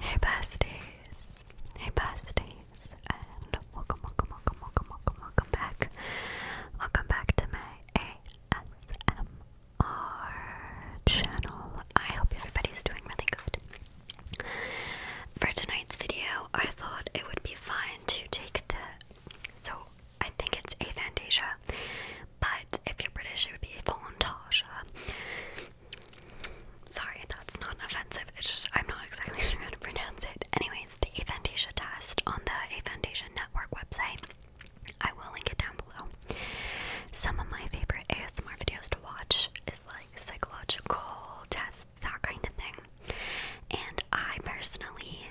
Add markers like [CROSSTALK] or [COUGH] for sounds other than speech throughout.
Hey besties, hey besties, and welcome, welcome, welcome, welcome, welcome, welcome back. Welcome back to my ASMR channel. I hope everybody's doing really good. For tonight's video, I thought it would be fun to take the, so I think it's aphantasia, but if you're British, it would be fontage. Sorry, that's not offensive. It's just I'm not exactly [LAUGHS] sure how to pronounce it. Anyways, the A Foundation test on the A Foundation Network website. I will link it down below. Some of my favorite ASMR videos to watch is like psychological tests, that kind of thing. And I personally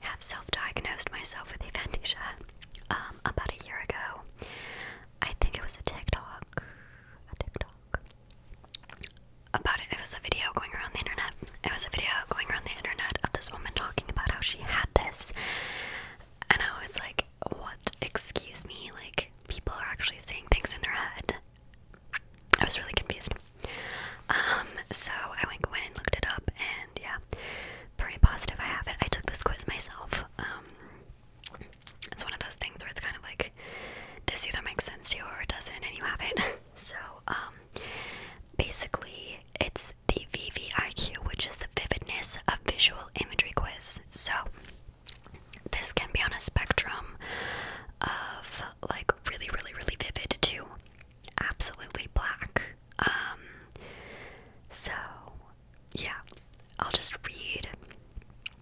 have self-diagnosed myself with aphantasia um, about a year ago. I think it was a TikTok, a TikTok about it. It was a video going around the internet. It was a video going around the internet of this woman talking about how she had this, and I was like, "What? Excuse me? Like people are actually saying things in their head." I was really confused. Um, so I went went and looked it up, and yeah, pretty positive I have it. I took this quiz myself. Um, it's one of those things where it's kind of like this either makes sense to you or it doesn't, and you have it. [LAUGHS] so, um, basically, it's the VVIQ, which is the vividness of visual imagery quiz. So, this can be on a spectrum of like really, really, really vivid to absolutely black. Um, so yeah, I'll just read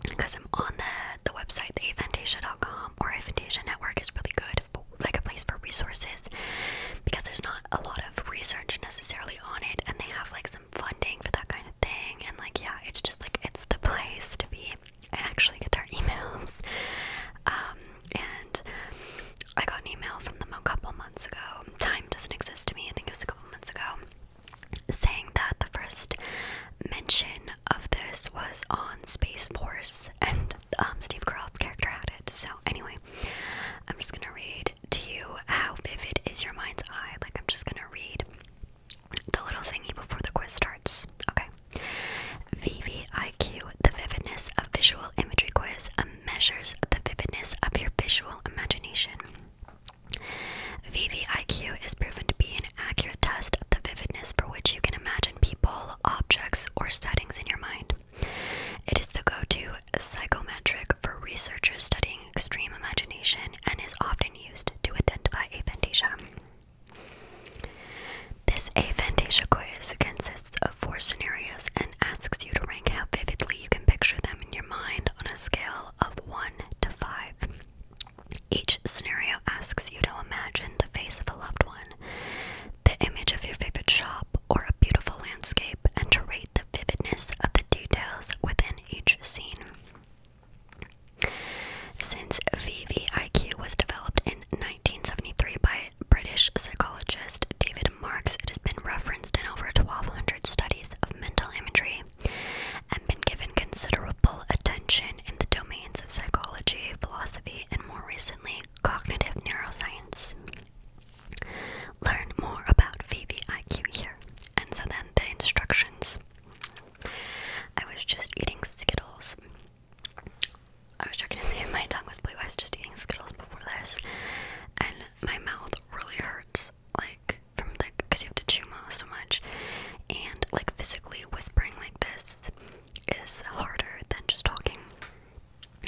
because I'm on the the website, theafantasia.com or Afantasia Network is really good, for, like a place for resources because there's not a lot of research necessarily on it, and they have like some funding for that kind of thing, and like yeah, it's just like it's the place to be and actually get their [LAUGHS] emails. Um, and I got an email from them a couple months ago. Time doesn't exist to me. I think it was a months ago saying that the first mention of this was on Space Force and um, Steve Carell's character had it. So, anyway, I'm just gonna read to you how vivid is your mind's eye. Like, I'm just gonna read the little thingy before the quiz starts. Okay. VVIQ, the vividness of visual imagery quiz, measures the vividness of your visual imagination. VVIQ is proven to be an accurate test of the vividness for which you can imagine people, objects, or settings in your mind. It is the go to psychometric for researchers studying extreme imagination and is often used to identify aphantasia. This aphantasia quiz consists of four scenarios and asks you to rank how vividly you can picture them in your mind on a scale of 1 to 5. Each scenario asks you to imagine the face of a loved one, the image of your favorite shop, or a beautiful landscape, and to rate the vividness of the details within each scene. Since VVIQ was developed in 1973 by British psychologist David it has been referenced in over 1,200 studies of mental imagery and been given considerable attention in the domains of psychology, philosophy, and more recently, cognitive neuroscience. Learn more about VVIQ here. And so then the instructions. I was just eating Skittles. I was trying to say [LAUGHS] my tongue was blue. I was just eating Skittles before this. And my mouth really hurts, like from the because you have to chew so much, and like physically whispering like this is harder than just talking.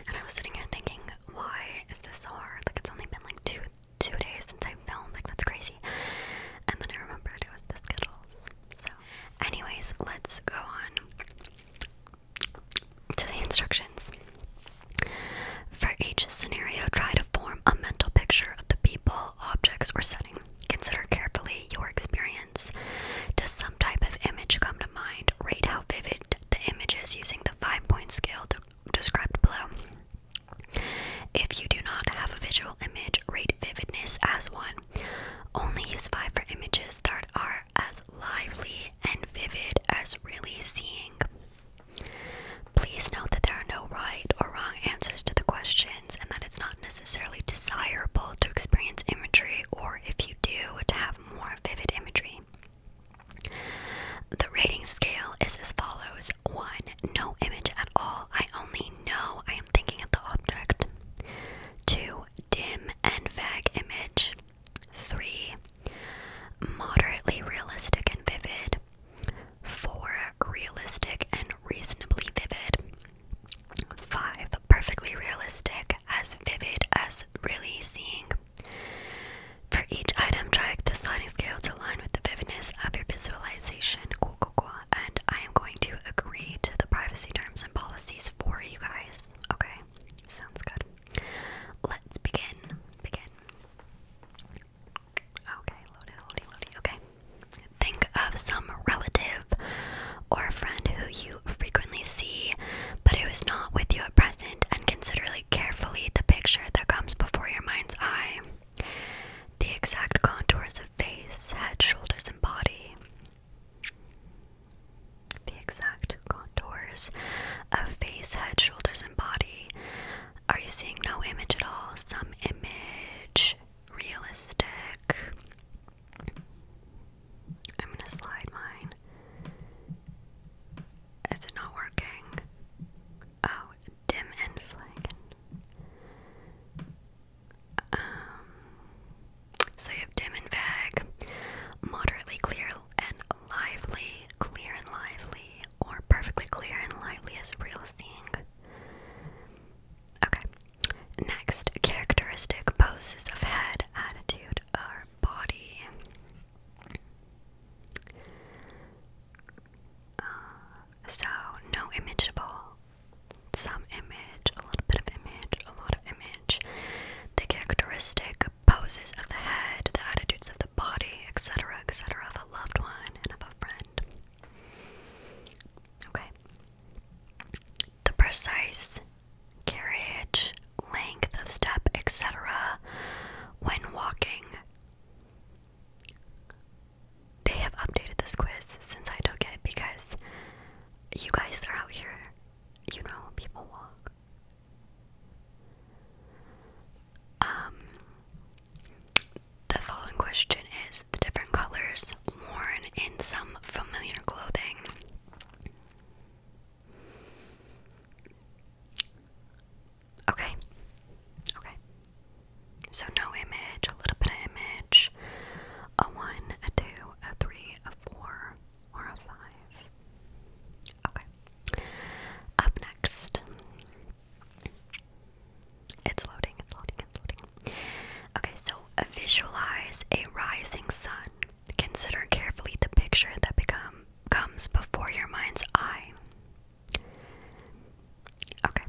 And I was sitting here thinking, why is this so hard? Like it's only been like two two days since I filmed. Like that's crazy. And then I remembered it was the Skittles. So, anyways, let's go on to the instructions. For each scenario, try to form a mental picture of the people, objects, or setting. Consider carefully your experience. Does some type of image come to mind? Rate how vivid the image is using the five point scale described below. If you do not have a visual image, rate vividness as one. Only use five for images that are as lively and vivid as really seeing. Please note that there are no right or wrong answers to the questions and that it's not necessarily desirable to experience imagery or if you do to have more vivid imagery. The rating scale is as follows 1. No image at all. I only know I am thinking of the object. 2. Dim and vague image. Three, moderately realistic and vivid. Four, realistic and reasonably vivid. Five, perfectly realistic, as vivid as really seeing. For each item, drag the sliding scale to align with the vividness of your visualization. And I am going to agree to the privacy terms and policies for you guys. Okay, sounds good. Let's begin. Begin. Okay, loady, loady, loady. Okay. Think of some relative or friend who you frequently see, but who is not with you at present, and consider carefully the picture that comes before your mind's eye. The exact contours of face, head, shoulders, and body. The exact contours of face, head, shoulders, and body. Are you seeing no image at all? Some image. Realistic. I'm gonna slide mine. Is it not working? Oh, dim and flank. Um, so you have dim and vague, moderately clear and lively, clear and lively, or perfectly clear and lively as real seeing. Okay. Next, characteristic poses of head, attitude, or body. Uh, so, no imageable. Some image, a little bit of image, a lot of image. The characteristic poses of the head, the attitudes of the body, etc., etc., of a loved one and of a friend. Okay. The precise carriage, length of step, etc., when walking. They have updated this quiz since I took it because you guys are out here you know how people walk. Um, the following question is the different colors worn in some familiar clothing. Okay. Okay. So no image, a little bit of image, a one, a two, a three, a four, or a five. Okay. Up next. It's loading, it's loading, it's loading. Okay, so visualize a rising sun. Consider carefully the picture that become comes before your mind's eye. Okay.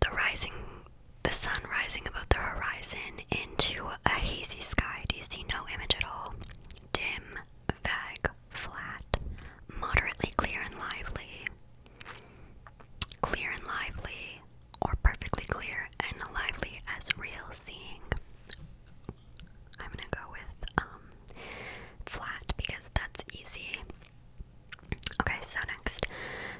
The rising the sun rising above the horizon into a hazy sky. Do you see no image at all? Dim, vague, flat, moderately clear and lively. Clear and lively, or perfectly clear and lively as real seeing. I'm gonna go with um, flat because that's easy. Okay, so next.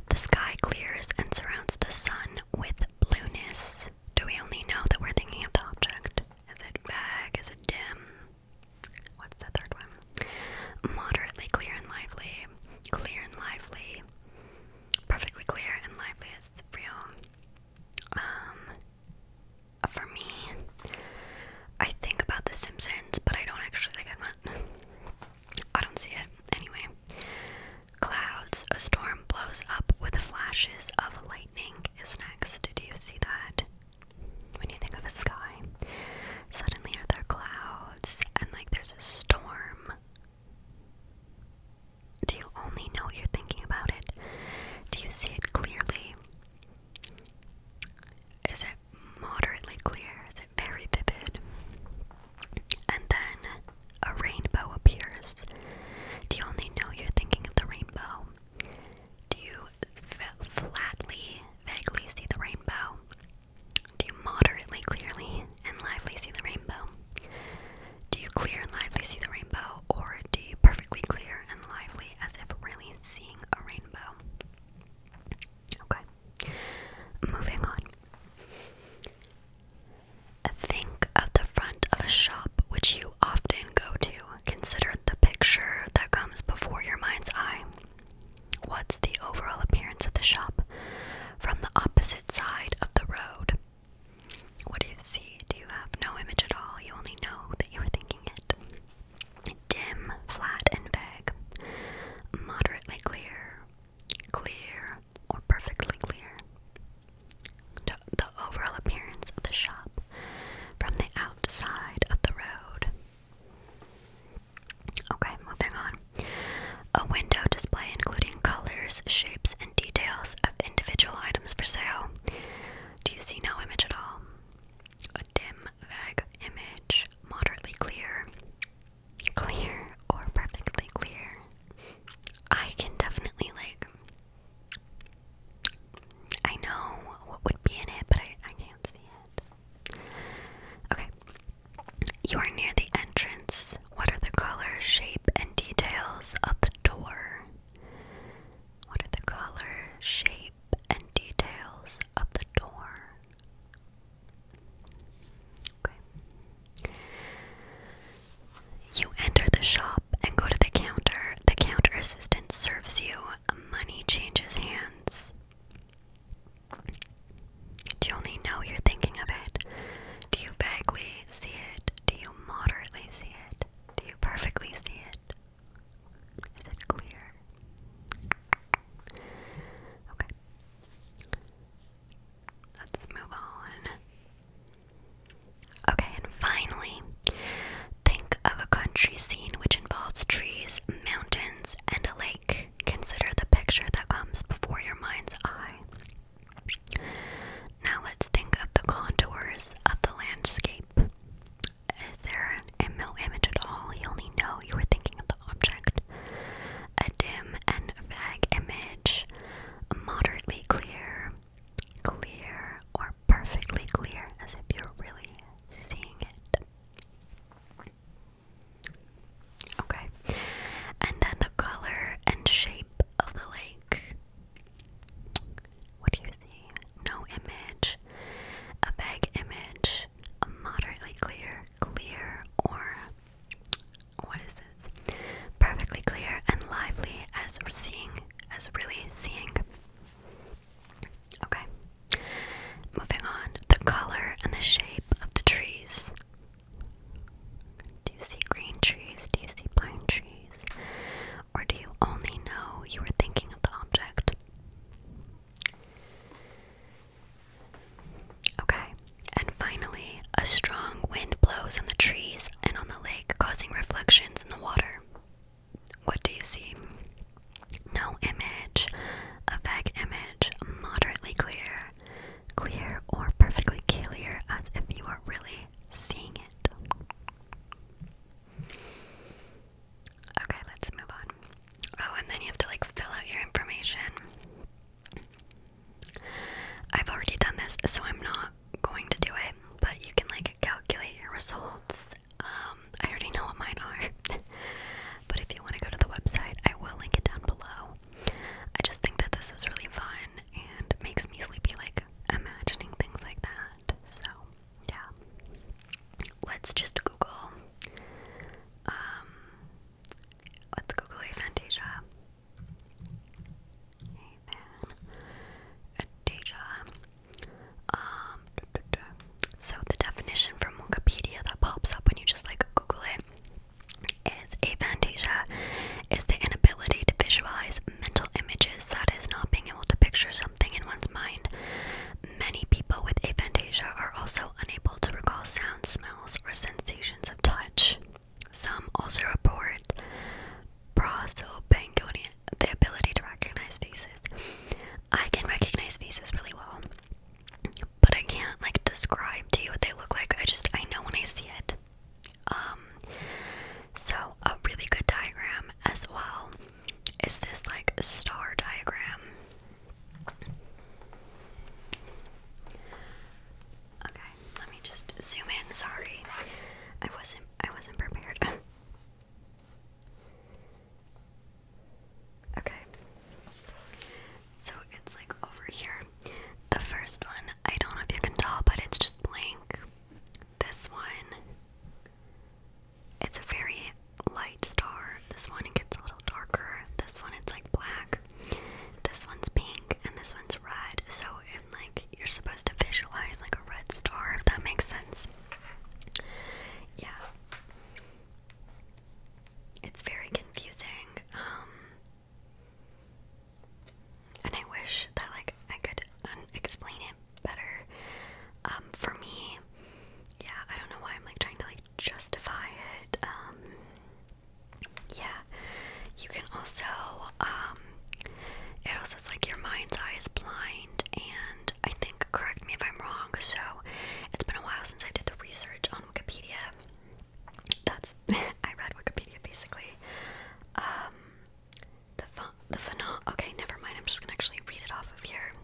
The sky clears and surrounds the sun with blueness? Do we only know that we're thinking of the object? Is it vague? Is it dim? What's the third one? Moderately clear and lively. Clear and lively. Perfectly clear and lively It's real. Um, for me, I think about The Simpsons, but I don't actually think I'm. I much. I don't see it. Anyway, clouds, a storm blows up with flashes of lightning is next. Do you see that? When you think of a sky, suddenly are there clouds and like there's a storm. Do you only know you're thinking about it? Do you see it clearly? Is it moderately clear? Is it very vivid? And then a rainbow appears. Do you only know you're thinking of the rainbow? Do you flatly, vaguely see the rainbow? Do you moderately, clearly, and lively see the rainbow? Do you clear and lively see the rainbow, or do you perfectly clear and lively as if really seeing a rainbow? Okay, moving on. Think of the front of a shop which you often go to. Consider the picture that comes before your mind's eye. What's the overall appearance of the shop from the opposite side of the road? What do you see? Do you have no image at all? You only know that you are thinking it. Dim, flat, and vague. Moderately clear. Clear, or perfectly clear. the overall appearance of the shop from the outside of the road. Okay, moving on. A window display including colors, shapes, and details of individual items for sale. Do you see no image at all? A dim, vague image, moderately clear clear or perfectly clear. I can definitely like I know what would be in it, but I, I can't see it. Okay. You are near the entrance. What are the color, shape, and details of the door? What are the color, shape, and details of the door? You enter the shop and go to the counter. The counter assistant serves you. Money changes hands. Do you only know you're thinking of it? Do you vaguely see it? Do you moderately see it? Do you perfectly see it? Is it clear? Okay. Let's move on. Okay, and finally, think of a country scene which involves trees, mountains, and a lake. Consider the picture that comes before your mind's eye. Now let's think of the contours of the landscape. Is there a image at all? You only know you were thinking of the object. A dim and vague image, moderately clear, clear, or perfectly clear, as if you're really seeing it. Okay. And then the color and shape of the lake. What do you see? No image, a vague image, a moderately clear, clear, or what is this? Perfectly clear and lively as seeing, as really seeing. Okay. Moving on, the color and the shape of the trees. Do you see green trees? Do you see pine trees? Or do you only know you were thinking of the object? Okay, and finally, a strong wind blows on the trees and on the lake, causing reflections in the water. What do you see? No image, a vague image, moderately clear, clear or perfectly clear, as if you are really seeing it. Okay, let's move on. Oh, and then you have to like fill out your information. I've already done this, so I'm not going to do it, but you can like calculate your results. Um, I already know what mine are, [LAUGHS] but if you want to go to the website, I will link it down below. I just think that this was really fun and makes me sleepy, like imagining things like that. So, yeah, let's just Google um, Let's Google a Fantasia. Um, so the definition from Wikipedia that pops up when you just like Google it is aphantasia is the inability to visualize mental images, that is, not being able to picture something in one's mind. Many people with aphantasia are also unable to recall sounds smells, or sensations of touch. Some also report prosopagnosia, the ability to recognize faces. I can recognize faces really well, but I can't like describe to you what they look like. I just I know when I see it. Um, so a really good diagram as well is this like star diagram. Okay, let me just zoom in. Sorry, I wasn't. I wasn't prepared. [LAUGHS] okay, so it's like over here. The first one, I don't know if you can tell, but it's just blank. This one, it's a very light star. This one gets a little darker. This one it's like black. This one's pink and this one's red. So if like you're supposed to visualize like a red star if that makes sense. Yeah. It's very confusing. Um, and I wish that like I could explain it better. Um, for me, yeah, I don't know why I'm like trying to like justify it. Um, yeah, you can also. Um, it also is like your mind's eye is blind, and I think correct me if I'm wrong. So it's been a while since I did the research on Wikipedia. That's [LAUGHS] I read Wikipedia basically. Um, the ph the phenom. Okay, never mind. I'm just gonna actually read it off of here.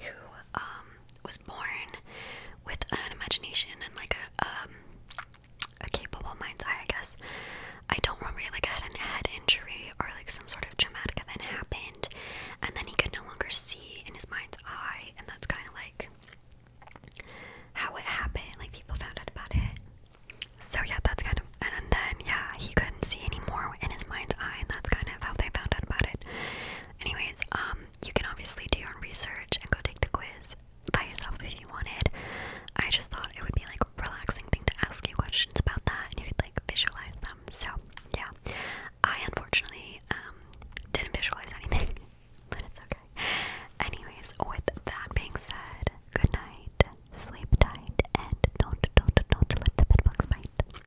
who um, was born with an imagination and like a um, a capable mind's eye, I guess. I don't remember he like had a head injury or like some sort of traumatic event happened, and then he could no longer see in his mind's eye, and that's kind of like how it happened. Like people found out about it. So yeah, that's kind of, and then yeah, he couldn't see anymore in his mind's eye, and that's kind of how they found out about it. Anyways, um, you can obviously do your research and go take the quiz by yourself if you wanted. I just thought it would be like a relaxing thing to ask questions about that and you could like visualize them. So yeah. I unfortunately um didn't visualize anything, [LAUGHS] but it's okay. Anyways, with that being said, good night, sleep tight, and don't don't don't let the bedbugs bite.